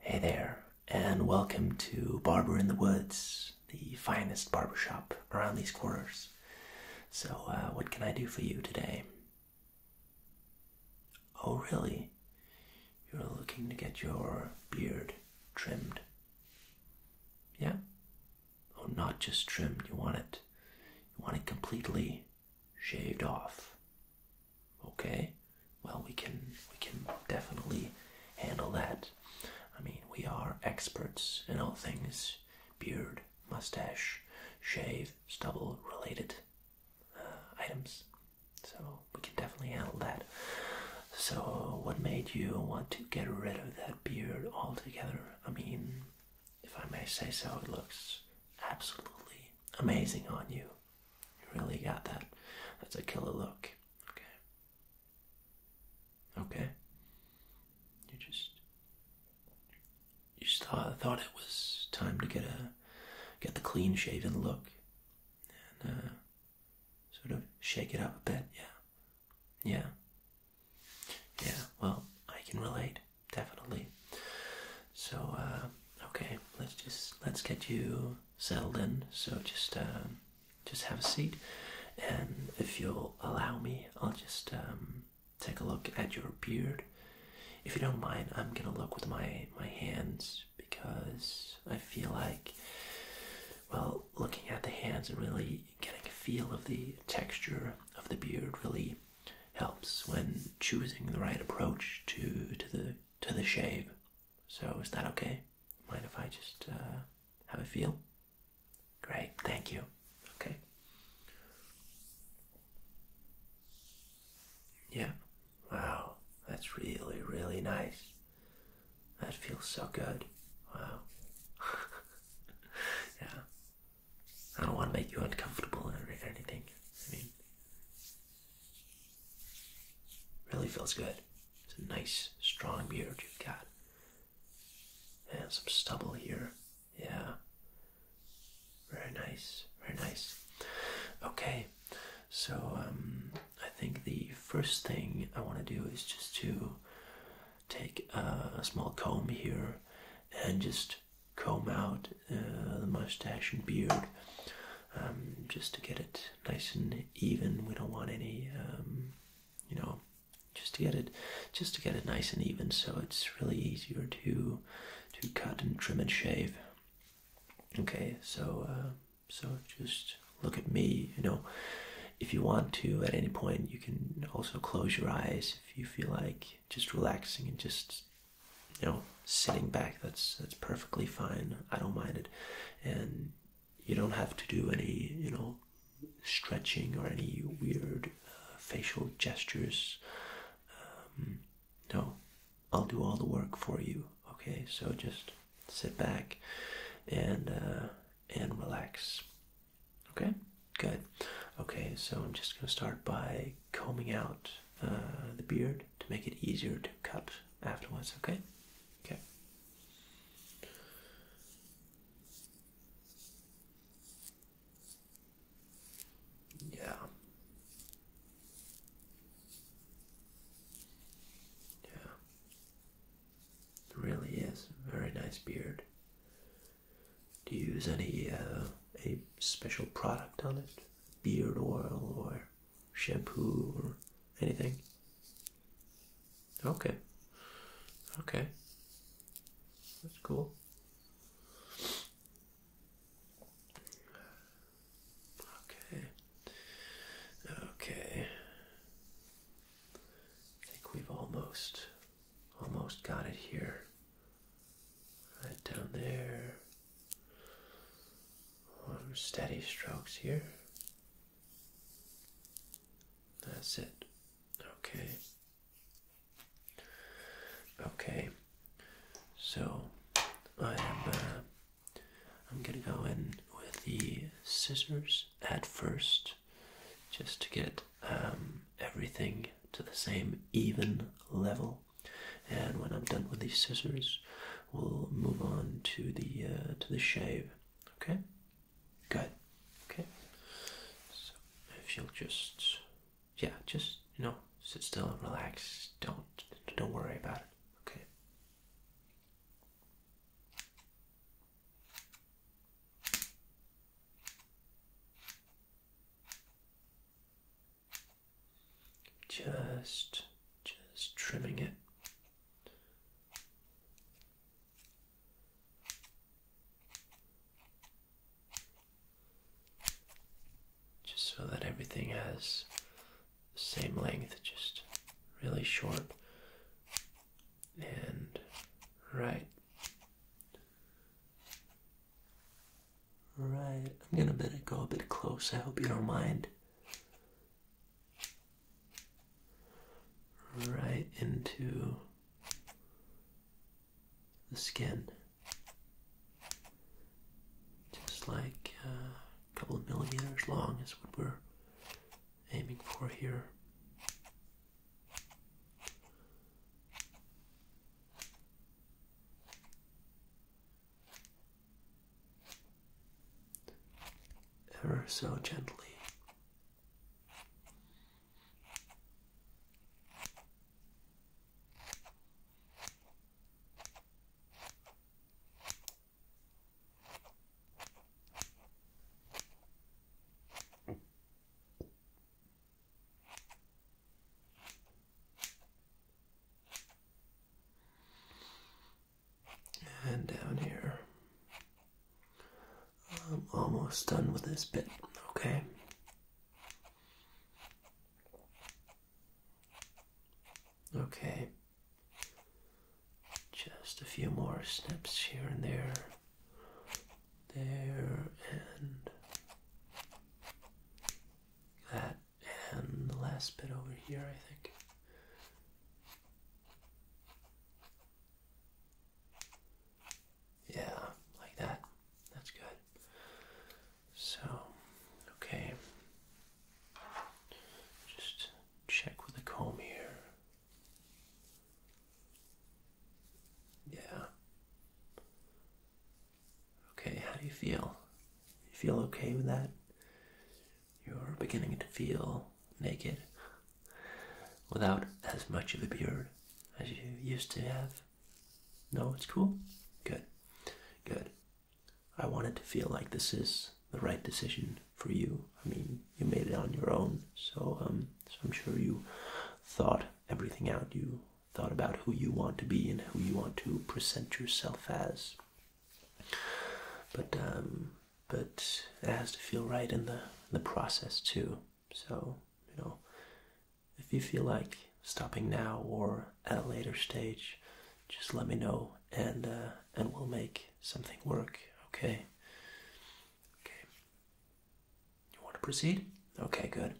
Hey there, and welcome to Barber in the Woods, the finest barbershop around these quarters. So, uh, what can I do for you today? Oh, really? You're looking to get your beard trimmed? Yeah? Oh, not just trimmed, you want it. You want it completely shaved off. Okay? Well, we can we can definitely handle that. I mean, we are experts in all things beard, mustache, shave, stubble related uh, items. So, we can definitely handle that. So, what made you want to get rid of that beard altogether? I mean, if I may say so, it looks absolutely amazing on you. You really got that. That's a killer look. Okay. Okay. You just you just thought, thought it was time to get a get the clean shaven look and uh, sort of shake it up a bit. Yeah. Yeah. Yeah. Well, I can relate definitely. So uh, Okay, let's just let's get you settled in. So just um, just have a seat, and if you'll allow me, I'll just um, take a look at your beard. If you don't mind, I'm gonna look with my my hands because I feel like, well, looking at the hands and really getting a feel of the texture of the beard really helps when choosing the right approach to to the to the shave. So is that okay? Mind if I just uh, have a feel? Great, thank you. Okay. Yeah. Wow, that's really, really nice. That feels so good. Wow. yeah. I don't want to make you uncomfortable or anything. I mean, Really feels good. It's a nice, strong beard you've got. And some stubble here. Yeah. Very nice. Very nice. Okay. So, um, I think the first thing I want to do is just to take a small comb here and just comb out uh, the mustache and beard um, just to get it nice and even. We don't want any, um, you know, just to get it, just to get it nice and even. So it's really easier to to cut and trim and shave. Okay, so uh, so just look at me. You know, if you want to, at any point, you can also close your eyes if you feel like just relaxing and just you know sitting back that's that's perfectly fine i don't mind it and you don't have to do any you know stretching or any weird uh, facial gestures um, no i'll do all the work for you okay so just sit back and uh, and relax okay good okay so i'm just going to start by combing out uh, the beard to make it easier to cut afterwards, okay? Okay. Yeah. Yeah. really is very nice beard. Do you use any uh, a special product on it? Beard oil or shampoo or anything? Okay. Okay. That's cool. Okay. Okay. I think we've almost almost got it here. Right down there. One steady strokes here. That's it. Okay. Okay. So I am. Uh, I'm gonna go in with the scissors at first, just to get um, everything to the same even level. And when I'm done with these scissors, we'll move on to the uh, to the shave. Okay, good. Okay, so if you'll just yeah, just you know sit still and relax. Don't don't worry about it. Okay. Just, just trimming it. Just so that everything has the same length, just really short and right. Right, I'm gonna better go a bit close. I hope you don't mind. Right into the skin. Just like uh, a couple of millimeters long is what we're aiming for here ever so gently. And down here. I'm almost done with this bit, okay? Okay. Just a few more snips here and there. There and that and the last bit over here, I think. Yeah, like that. That's good. So, okay. Just check with the comb here. Yeah. Okay, how do you feel? You feel okay with that? You're beginning to feel naked without as much of a beard as you used to have. No, it's cool? Good. Good. I want it to feel like this is the right decision for you. I mean, you made it on your own, so um, I'm sure you thought everything out. You thought about who you want to be and who you want to present yourself as. But um, but it has to feel right in the in the process too. So you know, if you feel like stopping now or at a later stage, just let me know and uh, and we'll make something work. Okay. Okay. You want to proceed? Okay, good.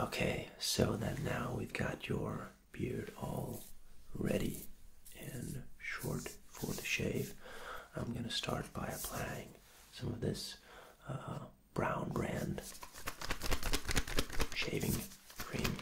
Okay, so then now we've got your beard all ready and short for the shave. I'm going to start by applying some of this uh, Brown Brand shaving cream.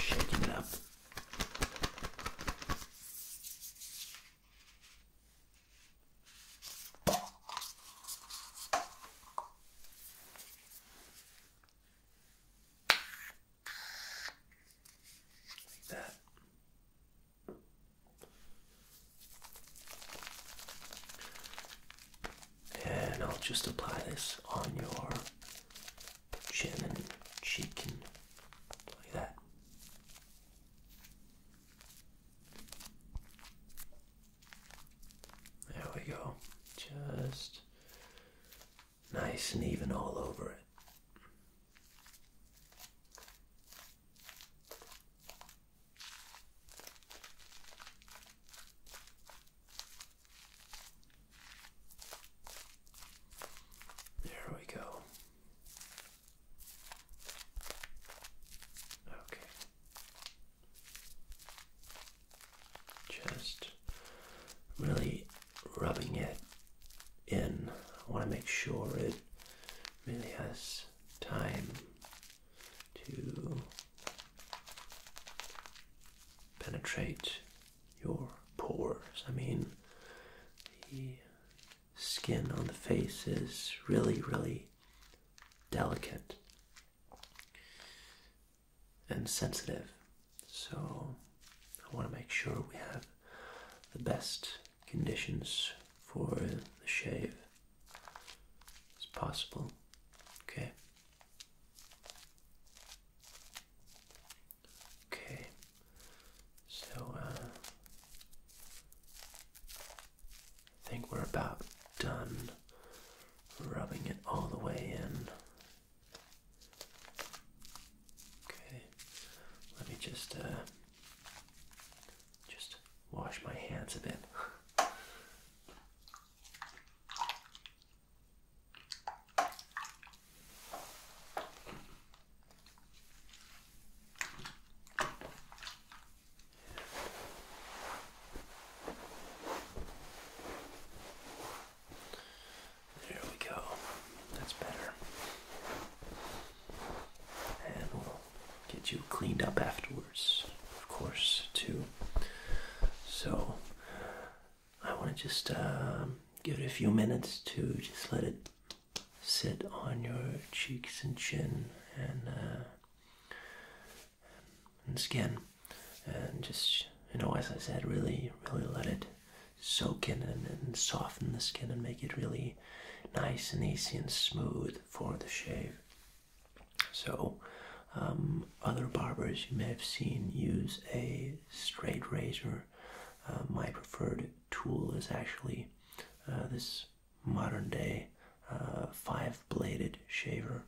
shaking it up. Like that. And I'll just apply this on your chin and cheek and like that. There we go. Just nice and even all over it. There we go. Okay. Just really rubbing it in. I want to make sure it really has time to penetrate your pores. I mean, the skin on the face is really, really delicate and sensitive. So I want to make sure we have the best conditions for the shave as possible. Okay. Okay. So uh, I think we're about done rubbing it all the way in. Okay, let me just uh, just wash my hands a bit. There we go. That's better. And we'll get you cleaned up afterwards, of course, too. So I want to just um, give it a few minutes to just let it sit on your cheeks and chin and uh, and skin, and just you know, as I said, really, really let it soak in and, soften the skin and make it really nice and easy and smooth for the shave. So. Um, other barbers you may have seen use a straight razor. Uh, my preferred tool is actually uh, this modern day uh, five bladed shaver.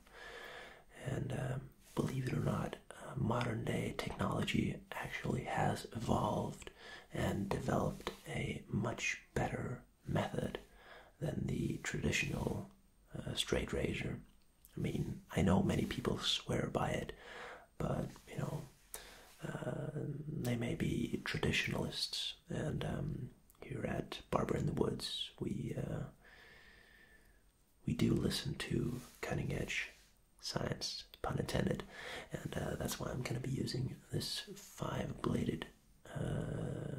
And um, believe it or not, uh, modern day technology actually has evolved and developed a much better method than the traditional uh, straight razor. I mean, I know many people swear by it, but you know, they may be traditionalists and um, here at Barber in the Woods, we uh, we do listen to cutting edge science, pun intended, and uh, that's why I'm going to be using this five bladed uh,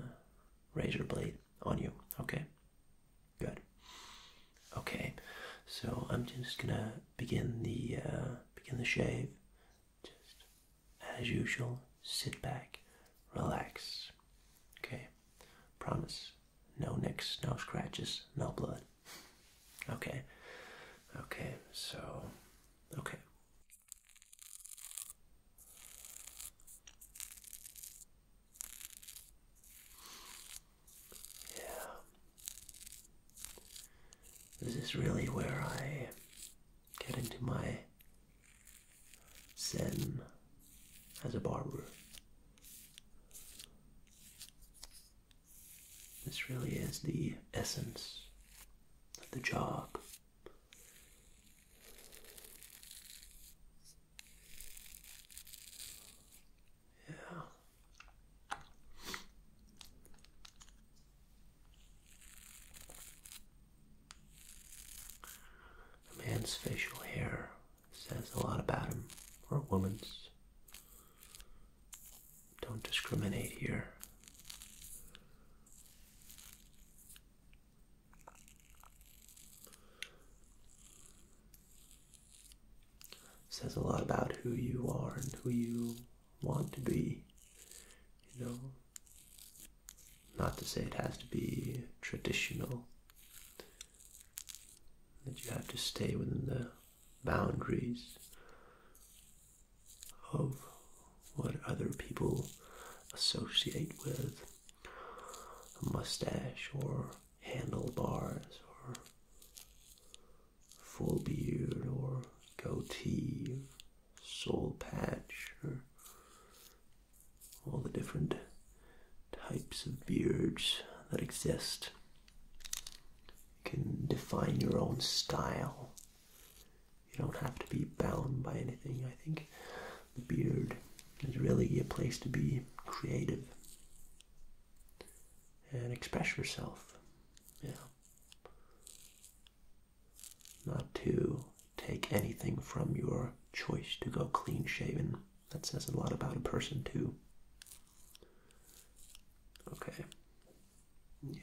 razor blade on you. Okay, good. Okay, so I'm just gonna begin the begin the shave. Just as usual, sit back, relax. Okay, promise. No nicks, no scratches, no blood. Okay, okay, so, okay. Yeah. This is really where I get into my zen as a barber. This really is the essence of the job. Yeah. A man's facial hair says a lot about him, or a woman's. Don't discriminate here. Says a lot about who you are and who you want to be. You know, not to say it has to be traditional, that you have to stay within the boundaries of what other people associate with a mustache or handlebars or full beard or goatee sole patch or all the different types of beards that exist. You can define your own style. You don't have to be bound by anything. I think the beard is really a place to be creative and express yourself. Yeah. Not to take anything from your choice to go clean shaven. That says a lot about a person, too. Okay. Yeah.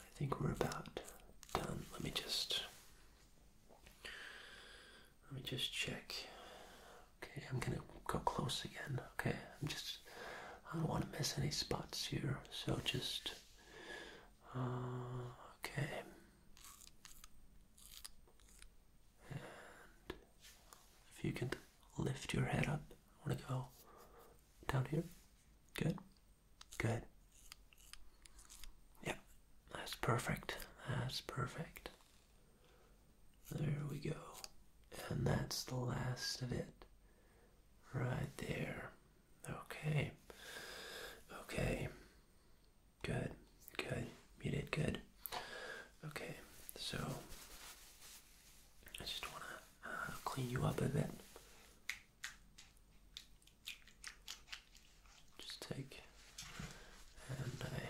I think we're about done. Let me just. Let me just check. Okay, I'm gonna go close again. Okay, I'm just. I don't want to miss any spots here, so just uh, okay. if you can lift your head up, I want to go down here. Good. Good. Yeah, that's perfect. That's perfect. There we go. And that's the last of it. Right there. Okay. Okay. Good. Good. You did good. Okay. So I just want to uh, clean you up a bit. Just take and I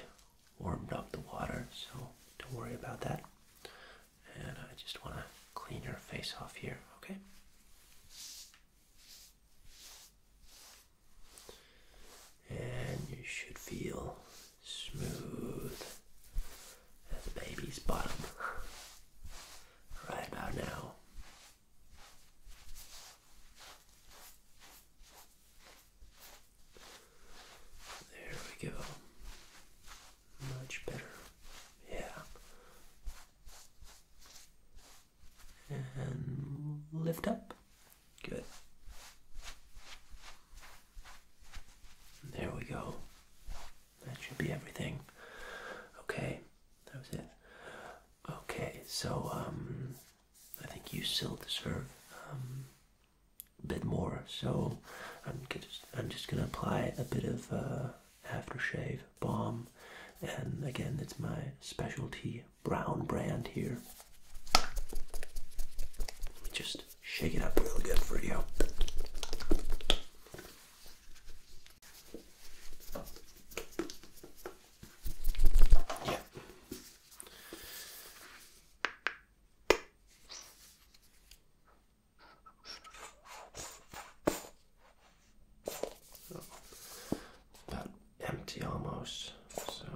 warmed up the water, so don't worry about that and I just want to clean your face off here, okay? And you should feel smooth as a baby's bottom right about now. There we go much better. Yeah. And lift up. Good. There we go. That should be everything. Okay, that was it. Okay, so um, I think you still deserve um, a bit more. So I'm just I'm just gonna apply a bit of. Uh, after shave balm and again it's my specialty brown brand here let me just shake it up real good for you yeah about empty almost. So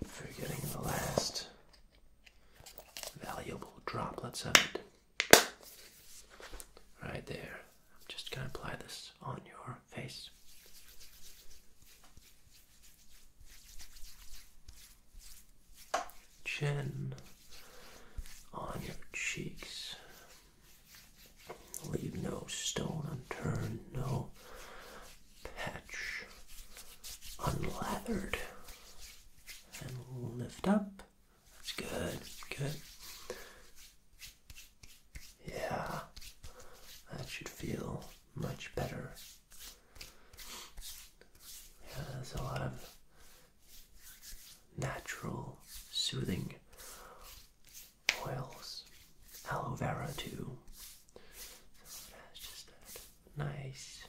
we're getting the last valuable droplets of it right there. I'm just going to apply this on your face chin, on your cheeks. Leave no stone unturned, no patch unlathered. And lift up. That's good, good. Yeah, that should feel much better. Yeah, there's a lot of natural soothing oils, aloe vera too. nice,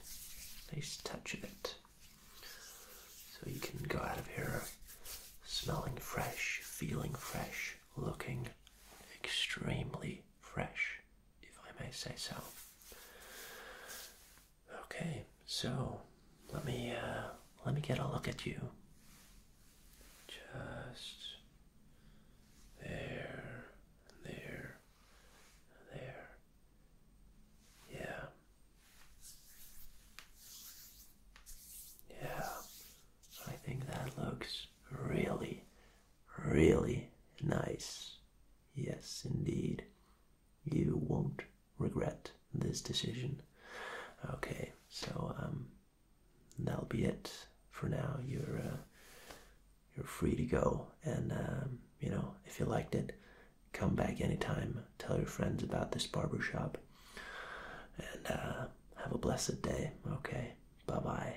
nice touch of it. So you can go out of here smelling fresh, feeling fresh, looking extremely fresh, if I may say so. Okay, so let me uh, let me get a look at you. Just there, there, there. Yeah. Yeah. I think that looks really, really nice. Yes, indeed. You won't regret this decision. Okay, so um, that'll be it for now. You're uh, you're free to go, and um, you know if you liked it, come back anytime. Tell your friends about this barber shop, and uh, have a blessed day. Okay, bye bye.